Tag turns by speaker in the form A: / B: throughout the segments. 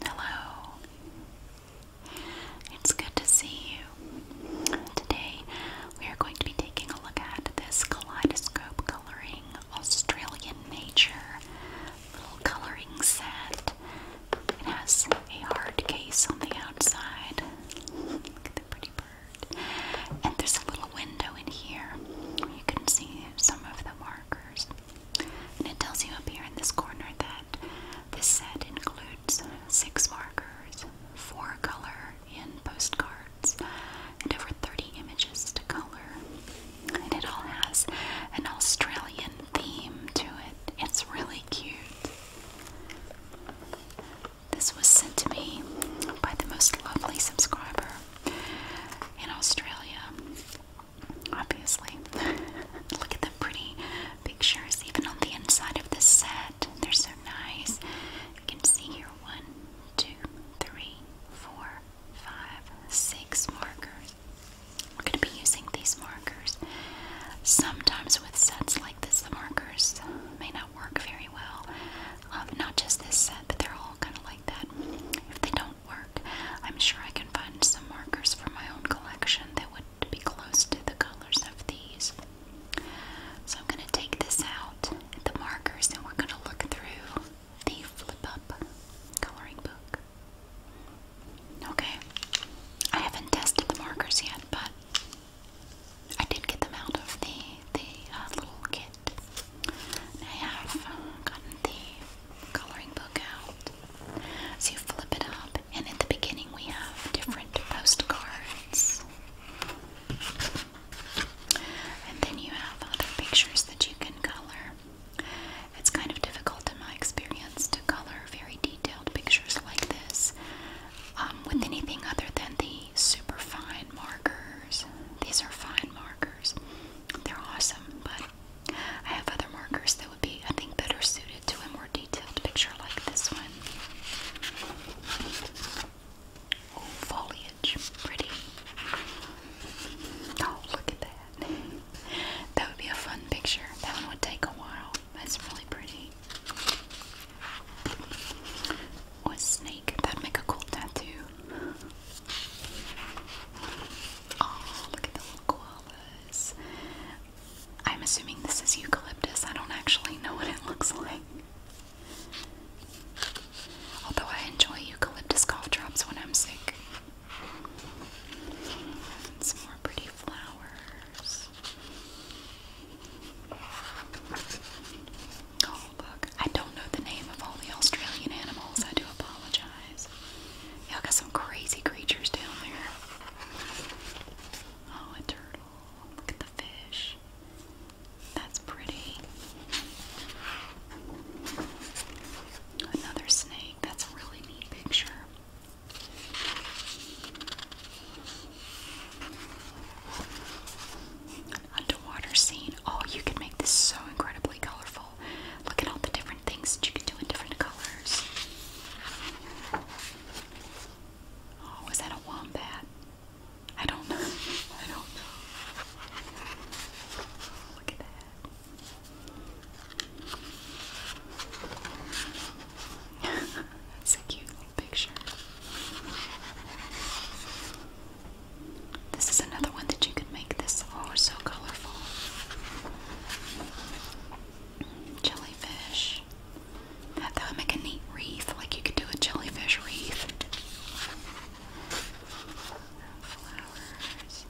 A: Hello. It's good to see you. Today we are going to be taking a look at this kaleidoscope coloring Australian nature little coloring set. It has a hard case on the outside. Look at the pretty and there's a little window in here you can see some of the markers. And it tells you up here in this corner that this set includes six markers, four color in postcards, and over 30 images to color. And it all has an Australian theme to it. It's really cute. This was sent to me by the most lovely subscriber in Australia. Obviously. Look at the pretty pictures, even on the inside of the set. They're so nice. You can see here one, two, three, four, five, six markers. We're going to be using these markers. Sometimes with sets like this, the markers may not work very well. Um, not just this set, but they're all kind of like that. If they don't work, I'm sure I can find some markers for my own collection that would be close to the colors of these. So I'm going to take this out, the markers, and we're going to look through the flip up coloring book. Okay, I haven't tested the markers yet, but I did get them out of the the uh, little kit. I have uh, gotten the coloring book out. So you flip it up, and at the beginning we have different postcards, and then you have other pictures that you can color. It's kind of difficult, in my experience, to color very detailed pictures like this um, with anything other than the super fine marker these are fine markers. They're awesome, but I have other markers that would be, I think, better suited to a more detailed picture like this one. Oh, foliage. Pretty. Oh, look at that. That would be a fun picture. That one would take a while. That's really pretty. Or snake. That'd make a cool tattoo. Oh, look at the little koalas. I'm assuming this is eucalyptus. I don't actually know what it looks like. Although I enjoy eucalyptus cough drops when I'm sick. some more pretty flowers. Oh, I don't know the name of all the Australian animals. I do apologize. Y'all got some crazy creatures down there. Oh, a turtle. Look at the fish. That's pretty. Another snake. That's a really neat picture underwater scene. Oh, you can make this so incredibly colorful. Look at all the different things that you can do in different colors. Oh, is that a wombat? I don't know. I don't know. Look at that. That's a cute little picture. This is another one that you could make this for, so colorful. Jellyfish. That, would make a neat wreath, like you could do a jellyfish wreath. Flowers.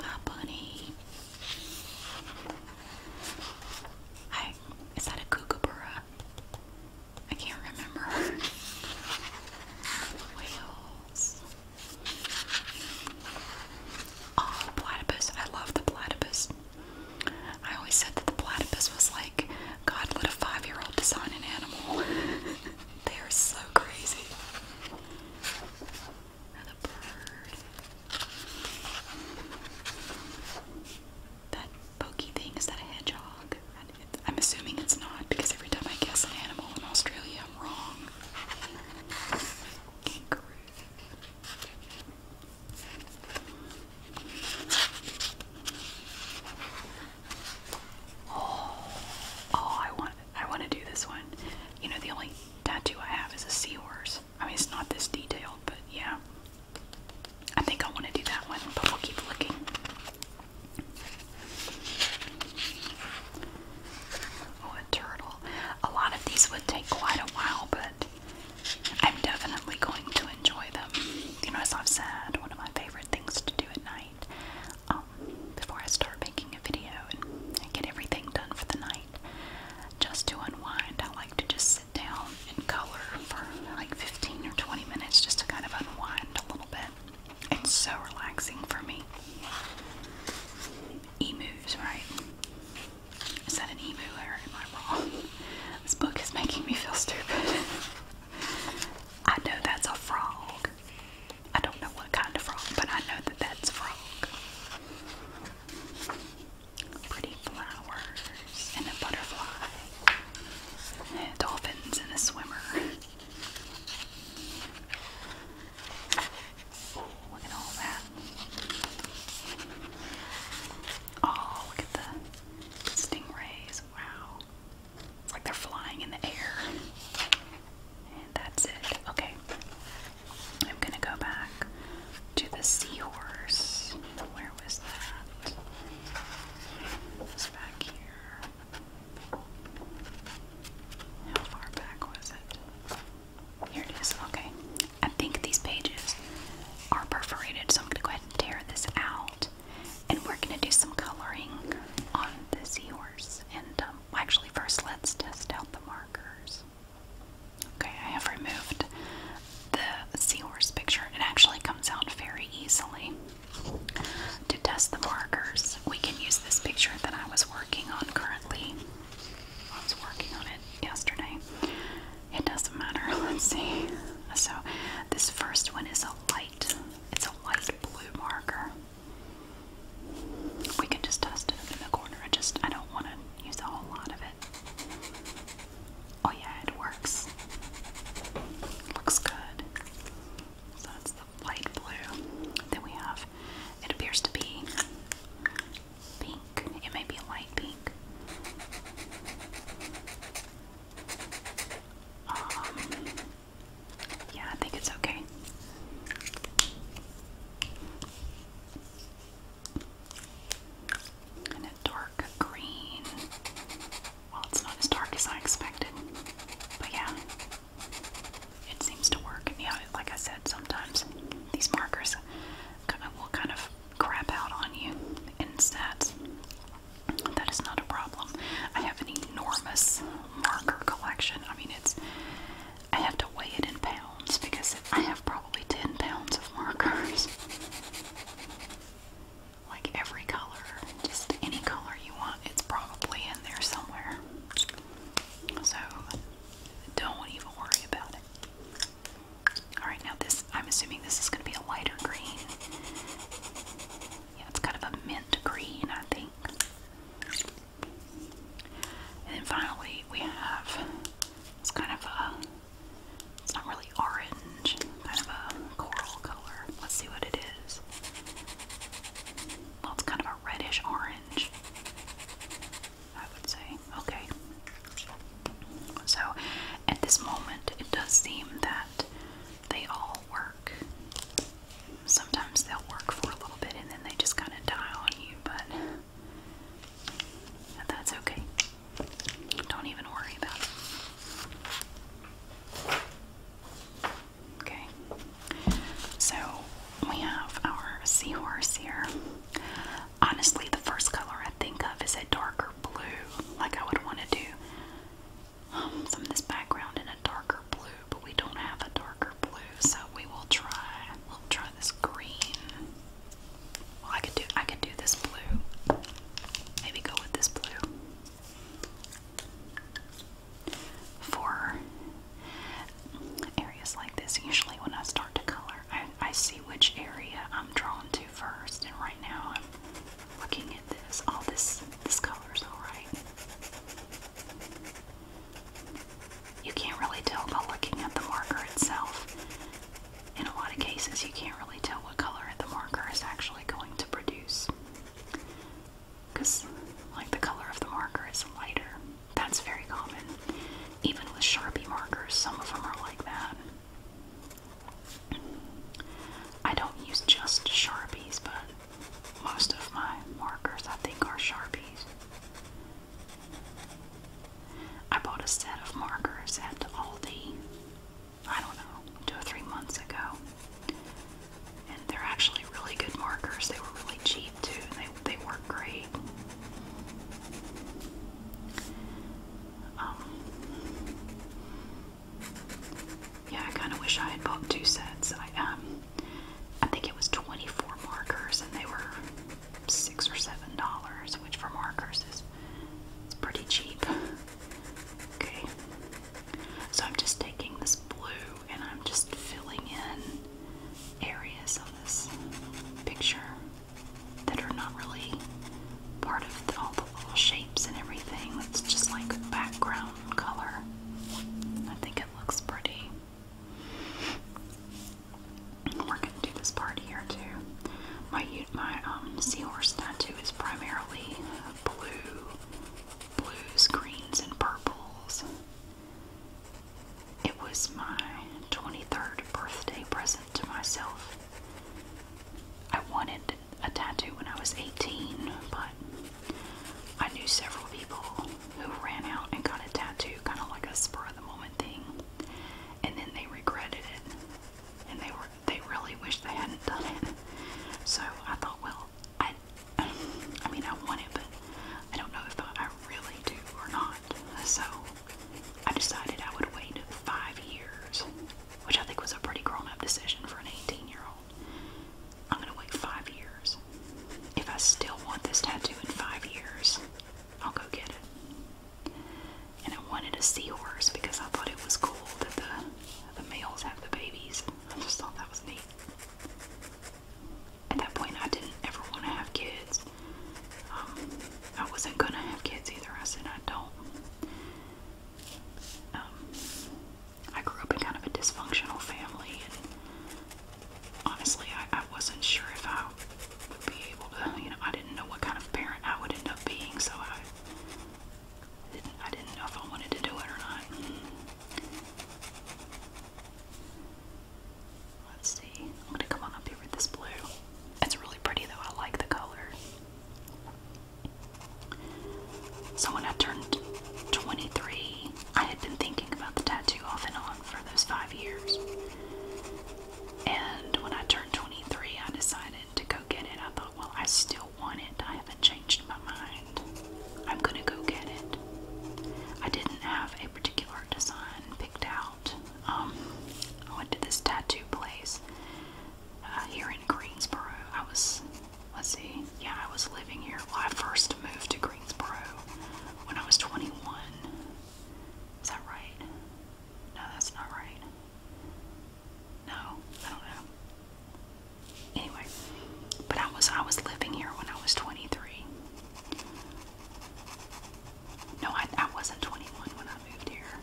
A: Hi, bunny. I is that a kookaburra? I can't remember. Whales. Oh, platypus. I love the platypus. I always said that the platypus was like God let a five-year-old design an animal. they are so crazy. Another bird. That pokey thing, is that a hedgehog? I'm assuming it's not because every time I guess an animal in Australia, I'm wrong. Kangaroo. Oh, oh, I want, I want to do this one. You know, the only tattoo I have is a seahorse. I mean, it's not this detailed, but yeah. I think I want to do that one, but we'll keep looking. Oh, a turtle. A lot of these would take quite a while, but I'm definitely going to enjoy them. You know, as I've said, one of my favorite things to do at night um, before I start making a video and, and get everything done for the night just to unwind. I like to just sit down and color for like 15 or 20 minutes just to kind of unwind a little bit. It's so relaxing for me. Emus, right? Is that an emu or am I wrong? This book is making me feel stupid. I know that's a frog. I don't know what kind of frog, but I know that that's a frog pretty flowers and a butterfly. And dolphins and a swimmer. look at all that. Oh, look at the stingrays. Wow. It's like they're flying in the air. And that's it. Okay. I'm gonna go back to the seahorse. Where was that? It's back here. How far back was it? Here it is. Okay. I think these pages are perforated, so I'm gonna go ahead and tear this out. And we're gonna do some coloring on the seahorse. And um, actually, first let's test out the markers. Okay, I have removed the seahorse picture. It actually comes out very easily. To test the markers, we can use this picture that I was working on currently. I was working on it yesterday. It doesn't matter. Let's see. So, this first one is a light. It's a light blue marker. We can just test it in the corner. I just I don't want to use a whole lot of it. Oh yeah, it works. Looks good. So that's the light blue. Then we have, it appears to be pink. It may be a light pink. Um, yeah, I think it's okay and a dark green. Well, it's not as dark as I expected, but yeah, it seems to work. Yeah, like I said, sometimes these markers kind of will kind of crap out on you and sets. That is not a problem. I have an enormous marker collection. I mean, it's I have to weigh it in pounds because I have probably 10 pounds of markers. like every color, just any color you want, it's probably in there somewhere. So don't even worry about it. Alright, now this, I'm assuming this is going to be a lighter green. Yeah, it's kind of a mint green, I think. And finally, we have it's kind of a, it's not really orange, kind of a coral color. Let's see what it is. Well, it's kind of a reddish orange, I would say. Okay. So at this moment, it does seem that they all work. Sometimes they'll work for a little bit and then they just kind of die on you, but that's okay. Don't even worry about it. Okay. So we have our seahorse here. Honestly, the first color I think of is a darker blue, like I would want to do um, this background in a darker blue, but we don't have a darker blue, so we will try. We'll try this green. Well, I could do I could do this blue. Maybe go with this blue. For areas like this, usually when I start to color, I, I see which area I'm drawn to first, and right now I'm looking at this. All oh, this this is all right you can't really tell by looking at the marker itself. In a lot of cases, you can't really tell what color the marker is actually going to produce. Because, like, the color of the marker is lighter. That's very common. Even with Sharpie markers, some of them are like that. I don't use just Sharpies, but most of my markers, I think, are Sharpies. I bought a set of markers at Aldi, I don't know, two or three months ago. And they're actually really good markers. They were really cheap too, and they, they work great. Um, yeah, I kind of wish I had bought two sets. I um, I think it was 24 markers, and they were six or seven dollars, which for markers is it's pretty cheap. Okay, so I'm just taking this blue and I'm just filling in areas of this picture that are not really part of all the little shapes and everything. That's just like background color. I think it looks pretty. We're gonna do this part here too. My my um seahorse tattoo is primarily blue, blues, greens, and purples. It was my 23rd birthday present to myself. I wanted a tattoo when I was 18, but I knew several people who ran out and got a tattoo, kind of like a spur of the moment thing and then they regretted it, and they were they really wish they hadn't done it. So I thought, well, I I mean I want it, but I don't know if I really do or not. So I decided I would wait five years, which I think was a pretty grown-up decision for an 18-year-old. I'm gonna wait five years. If I still want this tattoo in five years, I'll go get it. And I wanted a horse because I thought it was cool that the, the males have the babies. I just thought that was neat. At that point, I didn't ever want to have kids. Um, I wasn't going to have kids either. I said, I don't. Um, I grew up in kind of a dysfunctional family, honestly, I, wasn't sure if I would be able to, you know, I didn't know what kind of parent I would end up being, so I didn't, I didn't know if I wanted to do it or not. Let's see, I'm gonna come on up here with this blue. It's really pretty though, I like the color. So when I turned 23, I had been thinking about the tattoo off and on for those five years. And when I turned 23, I decided to go get it. I thought, well, I still want it. I haven't changed my mind. I'm going to go get it. I didn't have a particular design picked out. Um, I went to this tattoo place uh, here in Greensboro. I was, let's see, yeah, I was living here. when I first moved to Greensboro when I was 21. Is that right? No, that's not right. No, I don't know. Anyway, but I was I was living here when I was 23. No, I, I wasn't 21 when I moved here.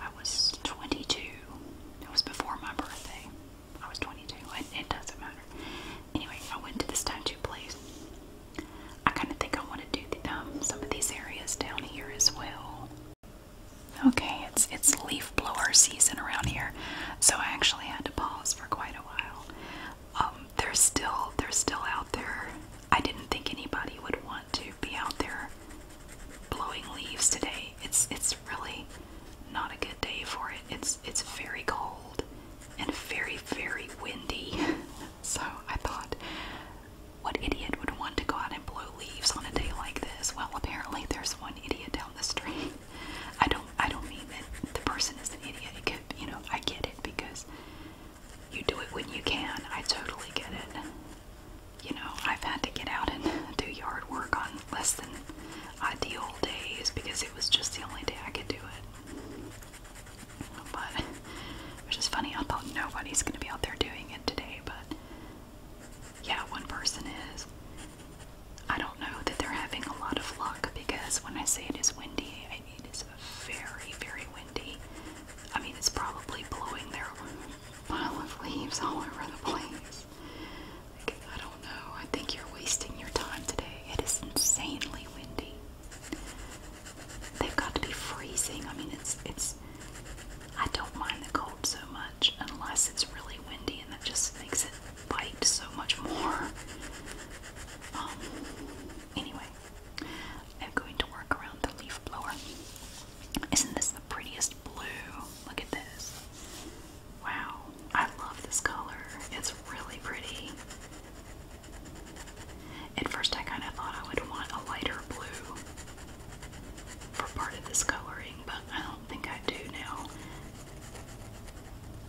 A: I was 22. It was before my birthday. I was 22. and it doesn't matter. Anyway, I went to this tattoo place I kind of think I want to do um, some of these areas down here as well. Okay, it's it's leaf blower season around here, so I actually had to pause for quite a while. Um, they're still they're still out there. I didn't think anybody would want to be out there blowing leaves today. It's it's really not a good day for it. It's it's very cold and very very windy. So I thought, what idiot would want to go out and blow leaves on a day like this? Well, apparently there's one idiot down the street. I don't. I don't mean that the person is an idiot. It could, you know, I get it because you do it when you can. I totally get it. You know, I've had to get out and do yard work on less than ideal days because it was just the only day I could do it. But which is funny, I thought nobody's gonna be out there doing it today, but yeah, one person is. I don't know that they're having a lot of luck because when I say it is windy, I mean it's very, very windy. I mean it's probably blowing their pile of leaves all over the place. I don't know. I think you're wasting your time today. It is insanely windy. They've got to be freezing. I mean, it's it's. I don't mind the cold so much unless it's really windy, and that just makes it bite so much more. Um, anyway, I'm going to work around the leaf blower. Isn't this the prettiest blue? Look at this. Wow, I love this color. It's really pretty. At first, I kind of thought I would want a lighter blue for part of this coloring, but I don't think I do now.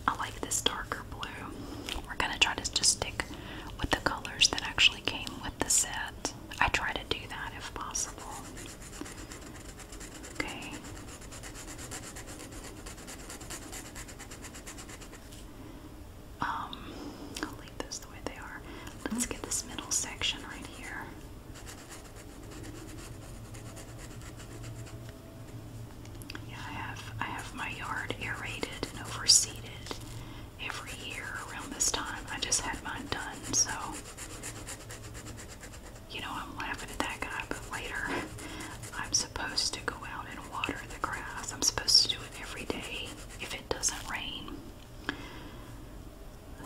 A: I like this darker blue. We're going to try to just stick with the colors that actually came with the set. I try to do that if possible. Okay. Um, I'll leave those the way they are. Let's get this middle section right here. Yeah, I have I have my yard aerated and overseeded every year around this time. I just had mine done, so you know I'm laughing at that guy, but later I'm supposed to go out and water the grass. I'm supposed to do it every day if it doesn't rain.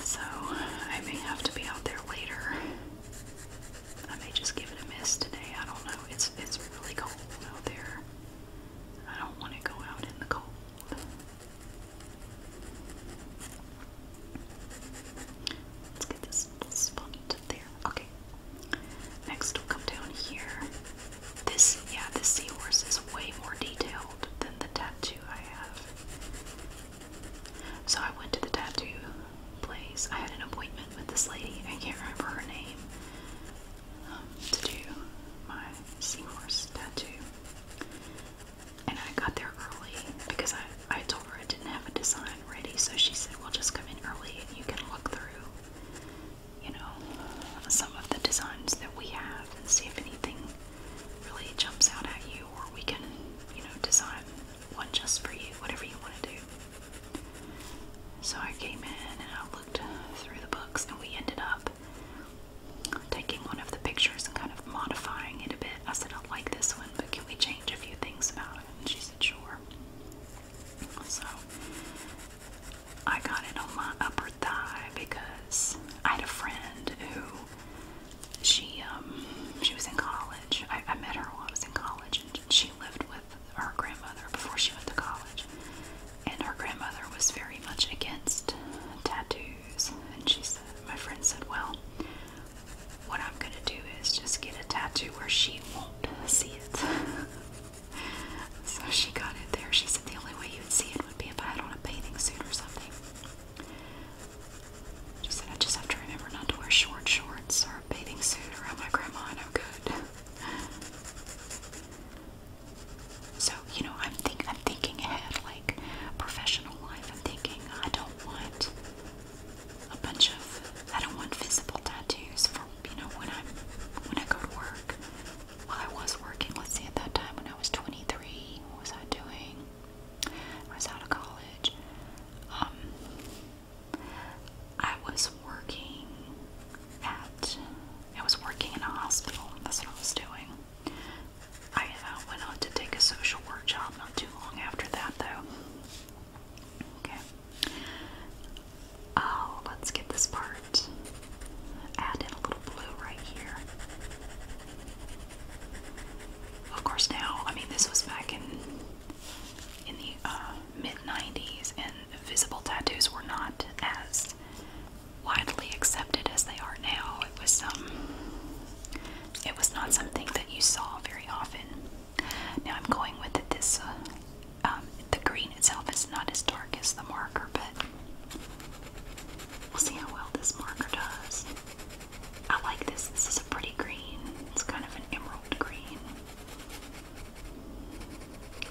A: So I may have to be out there later. I may just give it a miss today. I don't know. It's it's really cold out there. I don't want to go out in the cold. Let's get this spot there. Okay. Next, we'll come down here. This, yeah, this seahorse is way more detailed than the tattoo I have. So I went to the tattoo place. I had an appointment with this lady. I can't remember her name. Um, to do my seahorse tattoo. And I got there early because I, I told her I didn't have a design ready, so she said, Well, just come in early and you can look through you know, some of the designs that we have and see if anything really jumps out at you, or we can, you know, design one just for you, whatever you want to do. So I came in and I looked through the books, and we ended up taking one of the pictures and kind of modifying it a bit. I said, I like this one, but can we change a few things about it? And she said, sure. So I got it on my upper thigh because I had a friend who she um, she was in college. I, I met her while I was in college, and she lived with her grandmother before she went to college. And her grandmother was very much against tattoos. And she said, my friend said, well, what I'm gonna do is just get a tattoo where she won't see it. So she got it there. She said the only way you would see it would be if I had on a bathing suit or something. She said I just have to remember not to wear short shorts or a bathing suit around my grandma and I'm good. So, you know, I'm think I'm thinking ahead, like professional life. I'm thinking I don't want a bunch of I don't want visible tattoos, you know when I'm when I go to work. Well, I was working. Let's see, at that time when I was 23, what was I doing? was out of college. Um, I was working at. I was working in a hospital. That's what I was doing. I uh, went on to take a social work job not too long after that, though. Okay. Oh, let's get this part. Add in a little blue right here. Of course, now I mean this was back in in the uh, mid '90s, and visible tattoos were not as widely accepted as they are now. It was some. Um, it was not something that you saw very often. Now I'm going with it this uh, um, the green itself is not as dark as the marker, but we'll see how well this marker does. I like this. This is a pretty green. It's kind of an emerald green.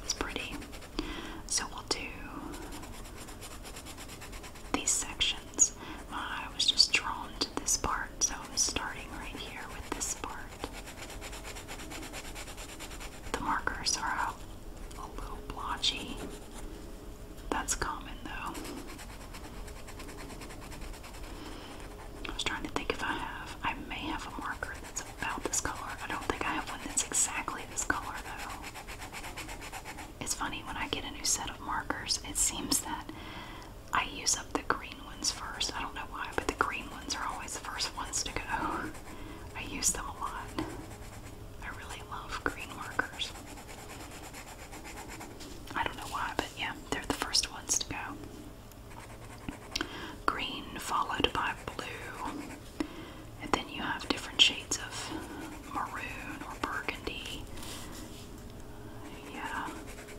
A: It's pretty. So we'll do these sections. I was just drawn to this part, so I'm starting right here with this part. The markers are a, a little blotchy. That's common though. I was trying to think if I have. I may have a marker that's about this color. I don't think I have one that's exactly this color though. It's funny when I get a new set of markers, it seems that I use up the green ones first. I don't know why, but the green ones are always the first ones to go. I use them a lot. I really love green markers. I don't know why, but yeah, they're the first ones to go. Green followed by blue, and then you have different shades of maroon or burgundy. Yeah,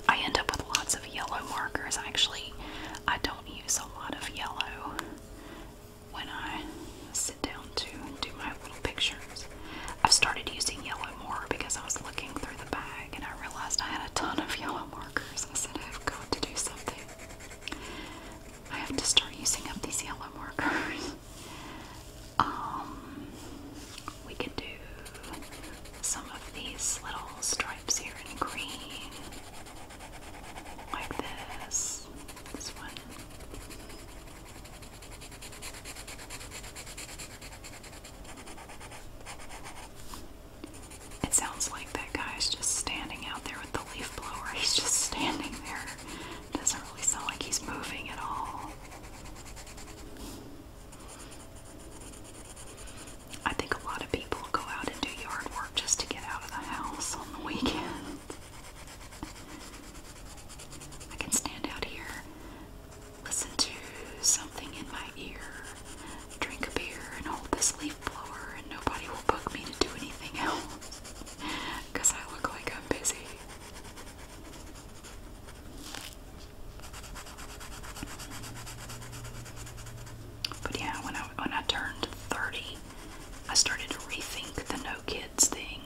A: I end up with lots of yellow markers. Actually, I don't use a lot of yellow when I sit down to do my little pictures. I've started using yellow more because I was looking through the bag and I realized I had a ton of yellow markers. I said, I've got to do something. I have to start using up these yellow markers. Um, we can do some of these little stripes here in green like this. This one. It sounds like that guy's just standing out there with the leaf blower. He's just standing there. Doesn't really sound like he's moving at all. I think a lot of people go out and do yard work just to get out of the house on the weekend. I can stand out here, listen to something in my ear, drink a beer, and hold this leaf blower, and nobody will bug me to do anything else because I look like I'm busy. But yeah, when I when I turned 30, I started to rethink the no kids thing.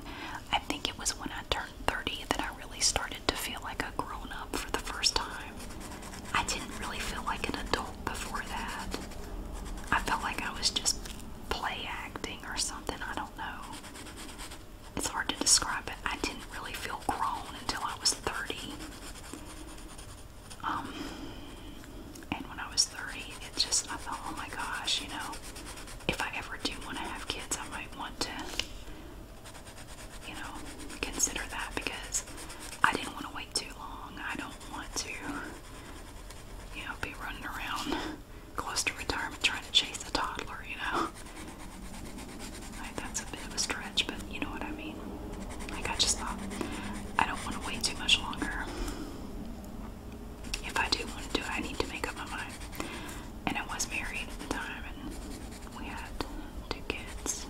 A: I think it was when I turned 30 that I really started to feel like a grown up for the first time. I didn't really feel like an adult before that. I felt like I was just play acting or something, I don't know. It's hard to describe it. I didn't really feel grown until I was 30. Um, and when I was 30, it just, I thought, oh my gosh, you know, if I ever do want to have kids, I might want to, you know, consider that because I didn't want to wait too long. I don't want to, you know, be running around close to retirement trying to chase a toddler, you know. that's a bit of a stretch, but you know what I mean like I just thought, I don't want to wait too much longer. If I do want to do it, I need to make up my mind. And I was married at the time, and we had two kids.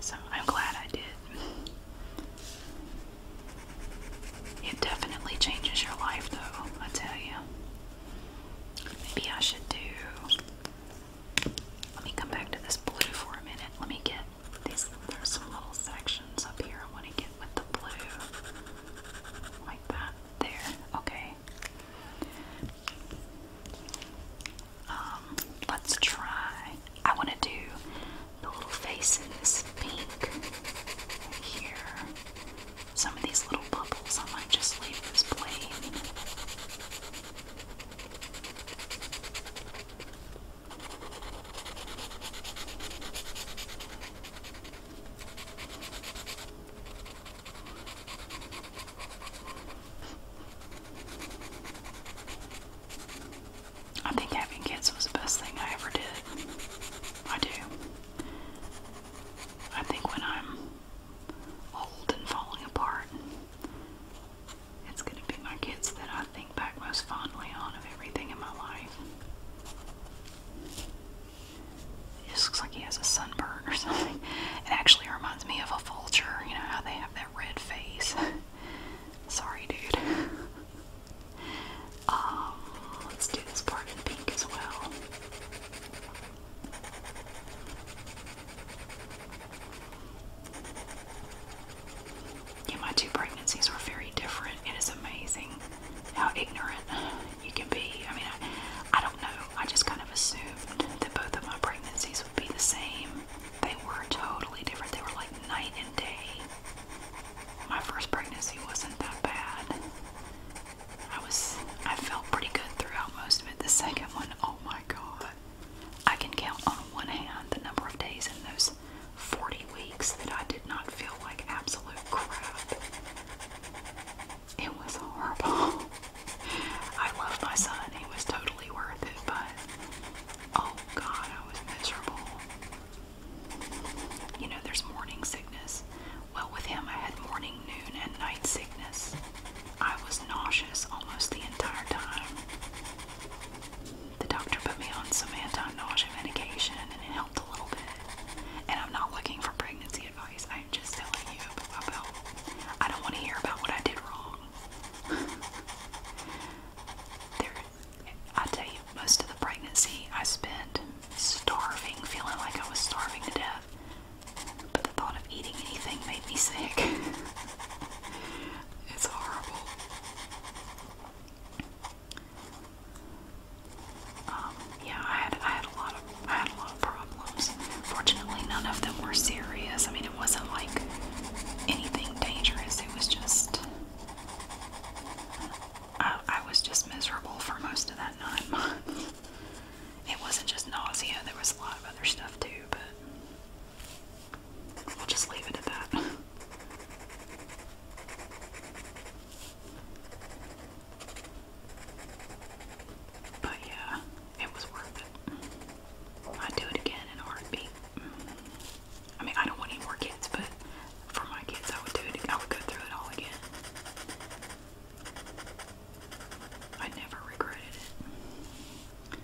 A: So I'm glad I did. It definitely changes your life, though, I tell you. Maybe I should do let me come back to this blue for a minute. Let me get these. There's some little sections up here I want to get with the blue. Like that. There. Okay. Um, let's try. I want to do the little faces pink here. Some of these little bubbles I might just leave as plain. I think having kids was the best thing I ever did. I do. I think when I'm old and falling apart, it's going to be my kids that I think back most fondly on of everything in my life. It looks like he has a sunburn or something. It actually reminds me of a vulture, you know, how they have that red face. Sorry, dude. Um, let's do this part in pink as well. Yeah, my two pregnancies were very different. It is amazing how ignorant you can be. I mean, I, I don't know. I just kind of assumed that both of my pregnancies would be the same. They were totally different. They were like night and day. My first pregnancy wasn't that bad. I was I felt pretty good throughout most of it. The second one, oh my god. I can count on one hand the number of days in those 40 weeks that I did not feel like absolute crap. It was horrible. I loved my son, he was totally worth it, but oh god, I was miserable. You know, there's morning sickness. Well, with him, I had morning, noon, and night sickness. I was nauseous almost the entire time. The doctor put me on some anti-nausea medication and it helped a little bit. And I'm not looking for pregnancy advice. I'm just telling you about I don't want to hear about what I did wrong. I tell you, most of the pregnancy I spent starving, feeling like I was starving to death. But the thought of eating anything made me sick. it's horrible. Um, yeah, I had I had a lot of I had a lot of problems. Fortunately, none of them were serious. I mean, it wasn't like anything dangerous. It was just I, I was just miserable for most of that nine It wasn't just nausea. There was a lot of other stuff too, but We'll just leave it at that. But yeah, it was worth it. I'd do it again in a heartbeat. I mean, I don't want any more kids, but for my kids, I would do it. I would go through it all again. I never regretted it.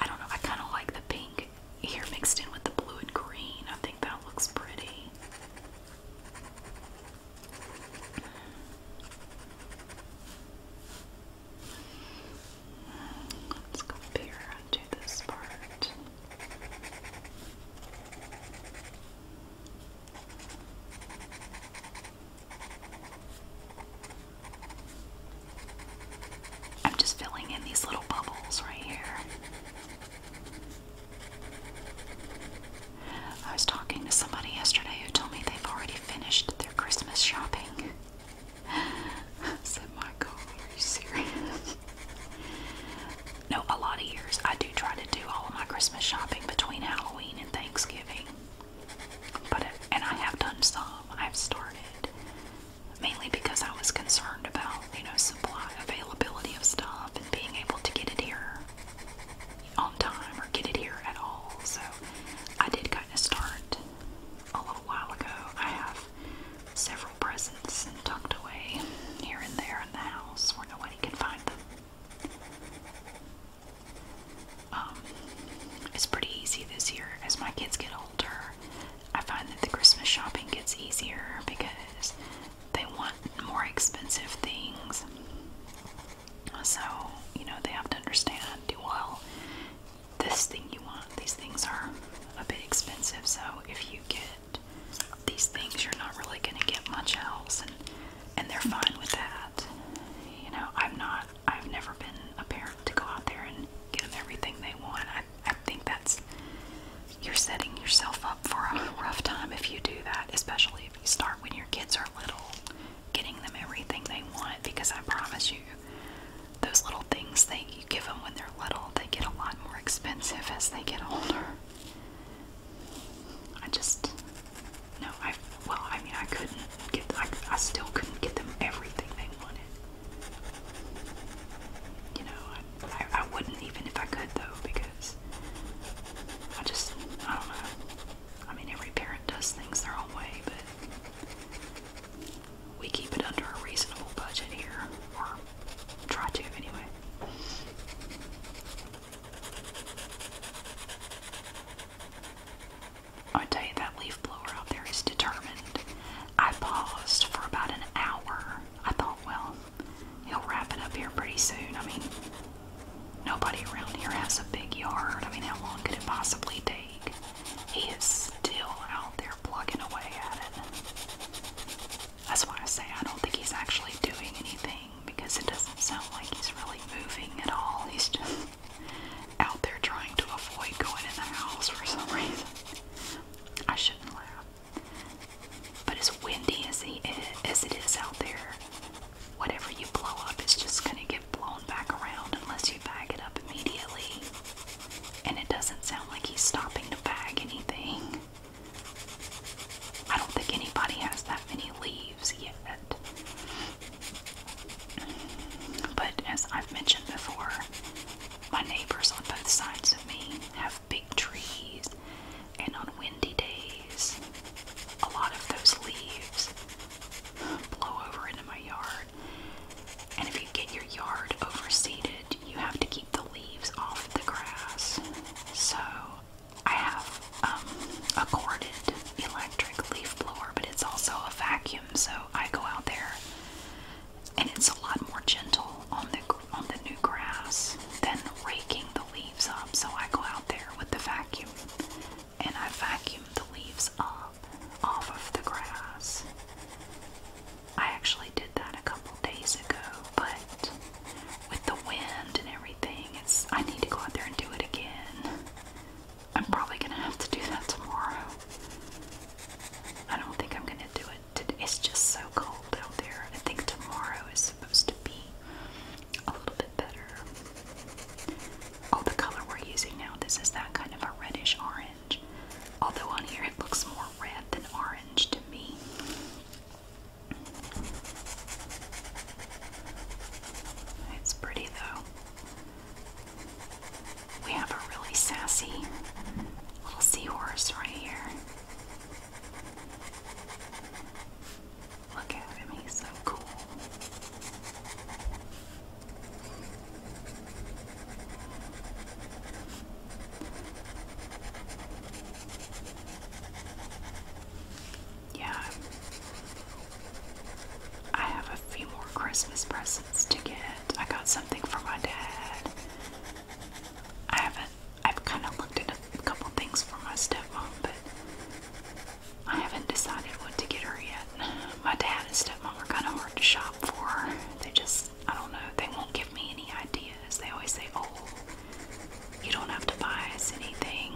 A: I don't know. I kind of like the pink here mixed in with the blue and green. I think that looks pretty. Let's go up this part. I'm just filling in these little bubbles right here. I was talking to somebody yesterday who told me they've already finished their Christmas shopping. said, My are you serious? no, a lot of years I do try to do all of my Christmas shopping between Halloween and Thanksgiving. But it, and I have done some. I've started mainly because I was concerned about you know supply availability of stuff and being able to get it here on time or get it here at all. So I did kind of start a little while ago. I have several presents tucked away here and there in the house where nobody can find them. Um, it's pretty easy this year as my kids get older. I find that the Christmas shopping gets easier because they want more expensive things. So, you know, they have to understand well, this thing you want, these things are a bit expensive. So, if you get that these things you're not really going to get much else, and and they're fine with that. You know, I'm not. I've never been a parent to go out there and get them everything they want. I I think that's you're setting yourself up for a rough time if you do that, especially if you start when your kids are little, getting them everything they want. Because I promise you, those little things that you give them when they're little, they get a lot more expensive as they get older. I just no. I well, I mean, I couldn't get. I, I still couldn't get them everything they wanted. You know, I, I, I wouldn't even if I could though because I just I don't know. I mean, every parent does things their own way, but we keep it under a reasonable budget here, or try to anyway. I tell you that leaf blower out there is determined. I paused for about an hour. I thought, well, he'll wrap it up here pretty soon. I mean, nobody around here has a big yard. I mean, how long could it possibly take? He is still out there plugging away at it. That's why I say I don't think he's actually doing anything because it doesn't sound like he's really moving at all. He's just out there trying to avoid going in the house for some reason. I shouldn't laugh. But as windy as, he, as it is out there, whatever you blow up is just going to get blown back around unless you bag it up immediately. And it doesn't sound like he's stopping to bag anything. I don't think anybody has that many leaves yet. But as I've mentioned before, my neighbors on both sides of me have big trees, and on windy days, a lot of those leaves blow over into my yard. And if you get your yard overseeded, you have to keep the leaves off the grass. So I have um, a corded electric leaf blower, but it's also a vacuum, so I go out there and it's a lot more gentle on the on the new grass than raking the leaves up. So I go out there with the vacuum and I vacuum the leaves up off of the grass. I actually did that a couple days ago, but with the wind and everything, it's I need to go out there and do it again. I'm probably gonna have to do that tomorrow. I don't think I'm gonna do it today. It's just so cold out there. I think tomorrow is supposed to be a little bit better. Oh, the color we're using now, this is that kind of a reddish orange. Although on here it looks more red than orange to me. It's pretty though. We have a really sassy little seahorse right here. Look at him, he's so cool. Yeah. I have a few more Christmas presents to get. I got something for my dad. I haven't I've kind of looked at a couple things for my stepmom, but I haven't decided what to get her yet. My dad and stepmom are kind of hard to shop for. They just, I don't know, they won't give me any ideas they always say, Oh, you don't have to buy us anything.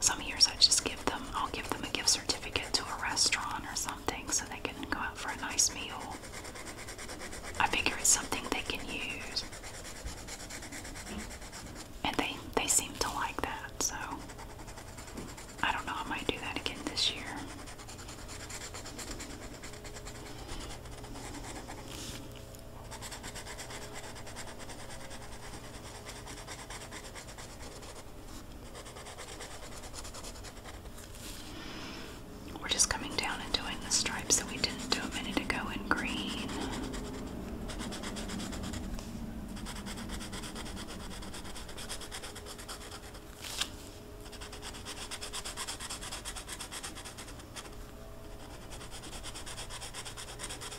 A: Some years I just give them, I'll give them a gift certificate to a restaurant or something so they can go out for a nice meal. I figure it's something they can use. And they, they seem to like that, so I don't know, I might do that again this year. We're just coming down and doing the stripes that we didn't do a minute ago in green.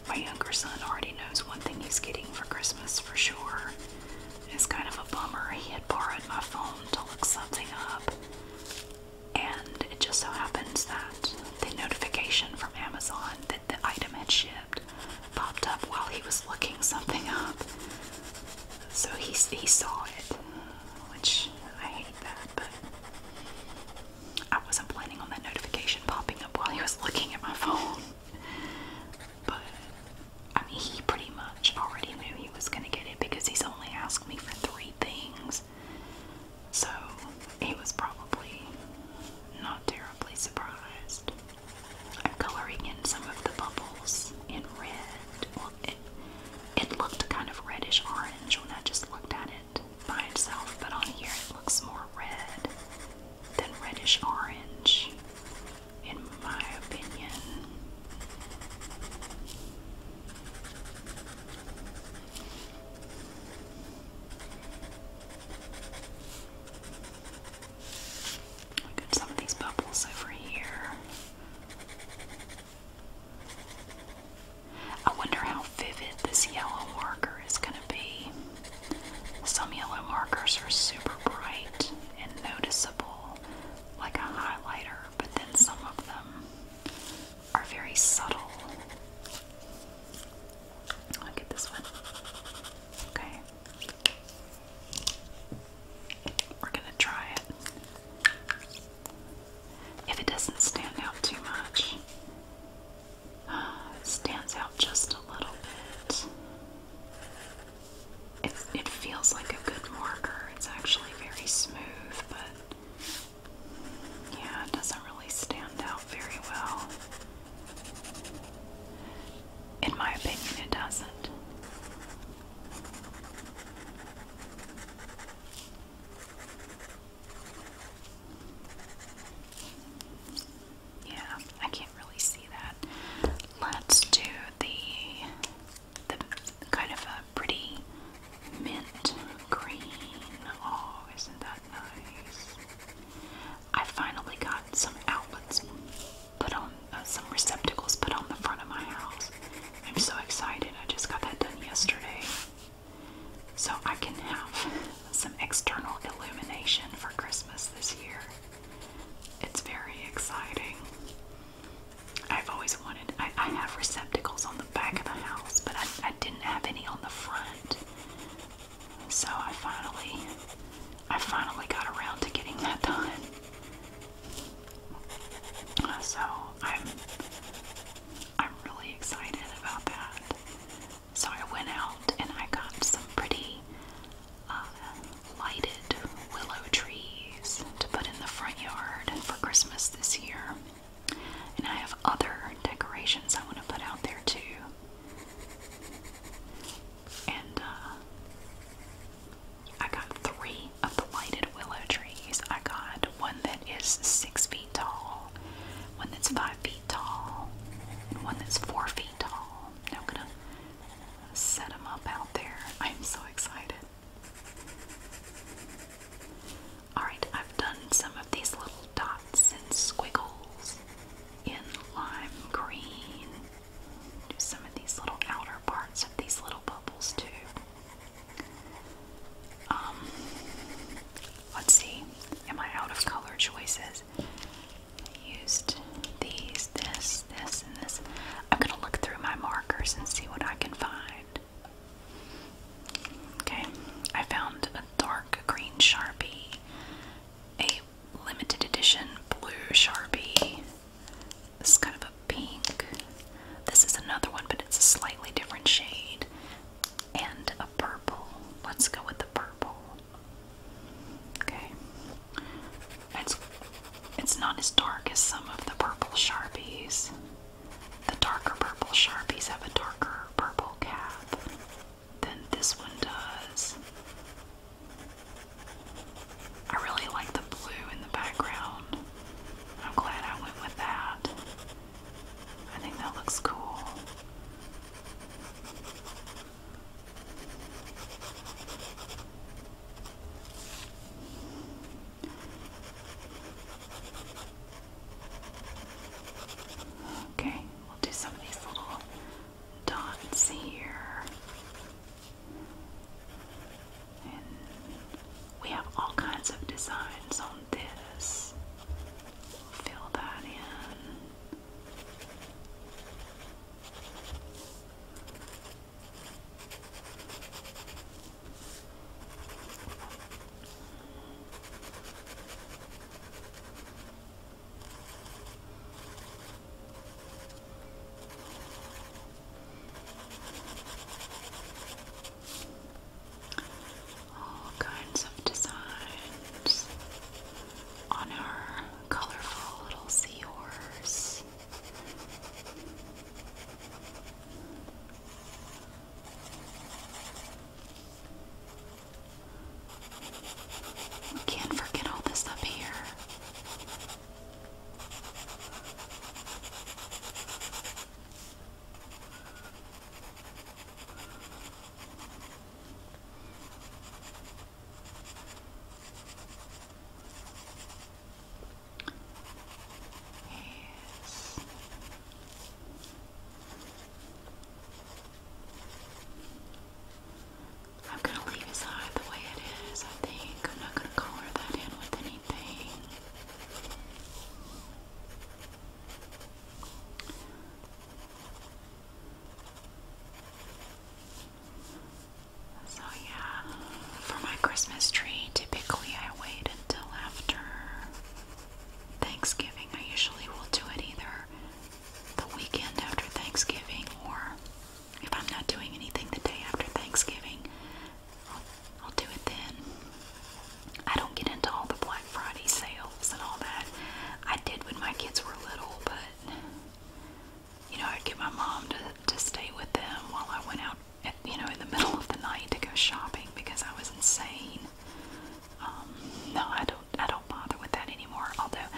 A: My younger son already knows one thing he's getting for Christmas for sure. It's kind of a bummer. He had borrowed my phone to look something up, and it just so happens that the notification from Amazon that the item had shipped popped up while he was looking something up. So he, he saw it, which I hate that but I wasn't planning on that notification popping up while he was looking at my phone. But I mean, he pretty much already knew he was gonna get it because he's only asked me for three things. So he was probably not terribly surprised. I'm coloring in some of the bubbles in red. Well, it, looked kind of reddish orange when I just looked at it by itself, but on here it looks more red than reddish orange, in my opinion. Look at some of these bubbles over here. I wonder how vivid this yellow marker is going to be. Some yellow markers are super bright and noticeable, like a highlighter, but then some of them are very subtle. I'll this one. Okay. We're going to try it if it doesn't stand out too much. Uh, it stands out just a little bit. It, it feels like a good marker. It's actually very smooth, but yeah, it doesn't really stand out very well. In my opinion, it doesn't. Yeah, I can't really see that. Let's do the the kind of a pretty mint green. Oh, isn't that nice? I finally got some outlets put on, uh, some receptacles put on the front of my house. I'm so excited. I just got that done yesterday. So I can have some external illumination for Christmas this year. It's very exciting. I've always wanted, I, have receptacles on the back of the house, but I, didn't have any on the front. So I finally, I finally got around to getting that done. So i I'm really excited about that. So I went out and I got some pretty uh, lighted willow trees to put in the front yard for Christmas this year. And I have other decorations I want to put out there too. And uh, I got three three of the whited willow trees. I got one that is six feet tall, one that's five feet tall, and one that's four feet tall. Now I'm gonna set up out there. I'm so excited. Alright, I've done some of these little dots and squiggles in lime green. some of these little outer parts of these little bubbles too. Um, let's see. Am I out of color choices? I these, this, this, and this. I'm gonna look through my markers and see what I can find. Okay, I found a dark green Sharpie, a limited edition blue Sharpie, this kind of a pink, this is another one, but it's a slightly different shade. And a purple. Let's go with the purple. Okay. It's it's not as dark as some of the purple Sharpies. The darker purple Sharpies have a darker purple cap than this one does. I really like the blue in the background. I'm glad I went with that. I think that looks cool. Okay, we'll do some of these little dots here we have all kinds of designs on this. Fill that in all kinds of designs on her colorful little seahorse. We can't forget all this up here. Yes. I'm going to leave his eye the way it is, I think. I'm not going to color that in with anything. So, yeah, for my Christmas tree, typically I wait until after Thanksgiving. I usually will do it either the weekend after Thanksgiving or if I'm not doing anything the day after Thanksgiving, I'll do it then. I don't get into all the Black Friday sales and all that. I did when my kids were little, but you know, I'd get my mom to, to stay with them while I went out, you know, in the middle of the night to go shopping because I was insane. Um, no, I don't. I don't bother with that anymore. Although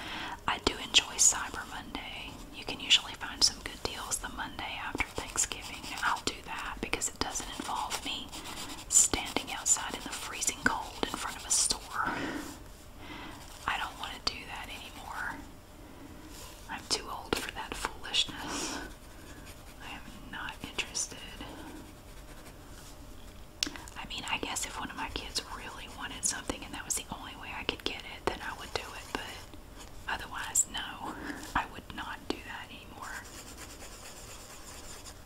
A: I do enjoy Cyber Monday. You can usually find some good deals the Monday after. Thanksgiving. I'll do that because it doesn't involve me standing outside in the freezing cold in front of a store. I don't want to do that anymore. I'm too old for that foolishness. I am not interested. I mean, I guess if one of my kids really wanted something and that was the only way I could get it, then I would do it, but Otherwise, no, I would not do that anymore.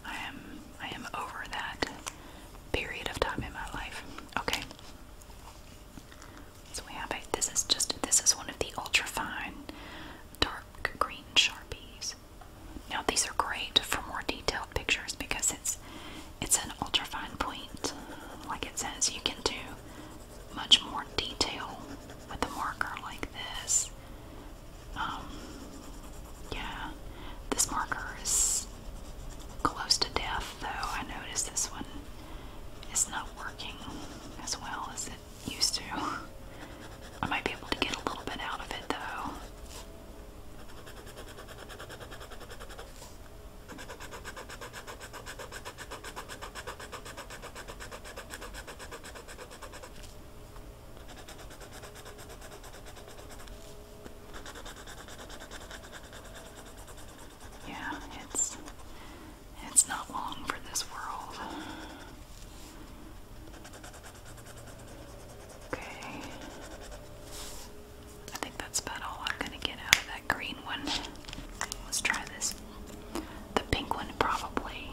A: I am I am over that period of time in my life. Okay. So we have it. This is just this is one of the ultra fine dark green sharpies. Now these are great for more detailed pictures because it's it's an ultra fine point. Like it says, you can do much more detail with a marker like this. Um, yeah, this marker is close to death, though. I noticed this one is not working as well as it used to. I might be able to get a little bit out of it, though. Yeah, it's it's not long for this world. Okay. I think that's about all I'm gonna get out of that green one. Let's try this the pink one probably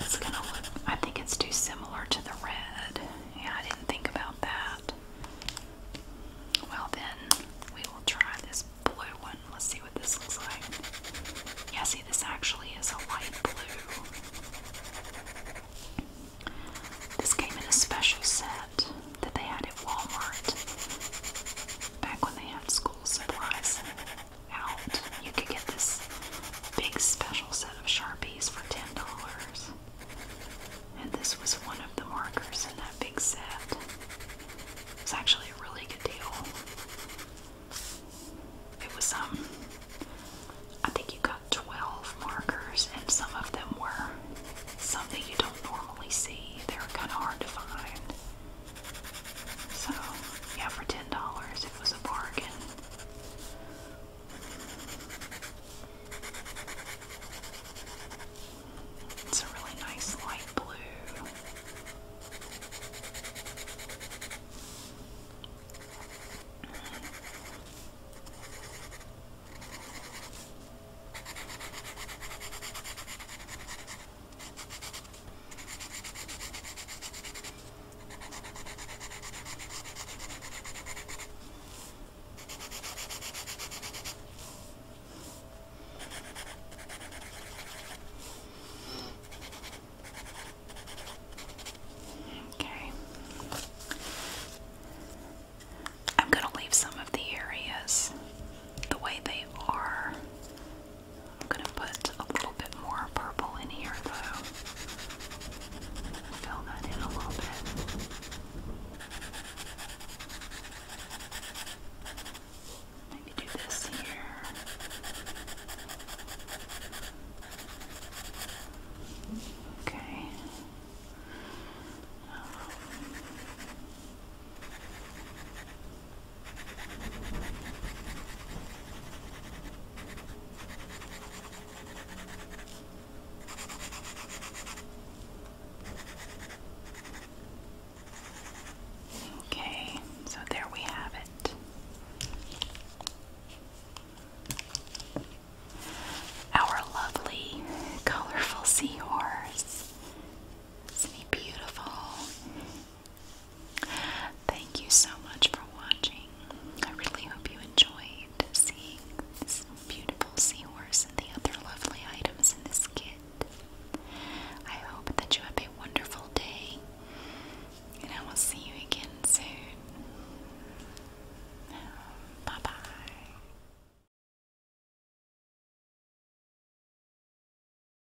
A: is gonna look, I think it's too similar to the red. Yeah, I didn't think about that. Well, then we will try this blue one. Let's see what this looks like. Yeah, see, this actually is a light blue. This came in a special set that they had at Walmart back when they had school supplies out. You could get this big special set of Sharpies for $10. And this was one of the markers in that big set. It's actually a really good deal. It was some, um, I think you got 12 markers, and some of them were something you don't normally see. They're kind of hard to find. So, yeah, for $10 it was a bargain. It's a really nice light blue. Okay. I'm going to leave some of the areas the way they are I'm gonna put a little bit more purple in here though. Fill that in a little bit. Maybe do this here. Okay. Okay, so there we have it. Our lovely, colorful seahorse. Isn't he beautiful? Thank you so much for watching. I really hope you enjoyed seeing this beautiful seahorse and the other lovely items in this kit. I hope that you have a wonderful day, and I will see you again soon. Bye bye.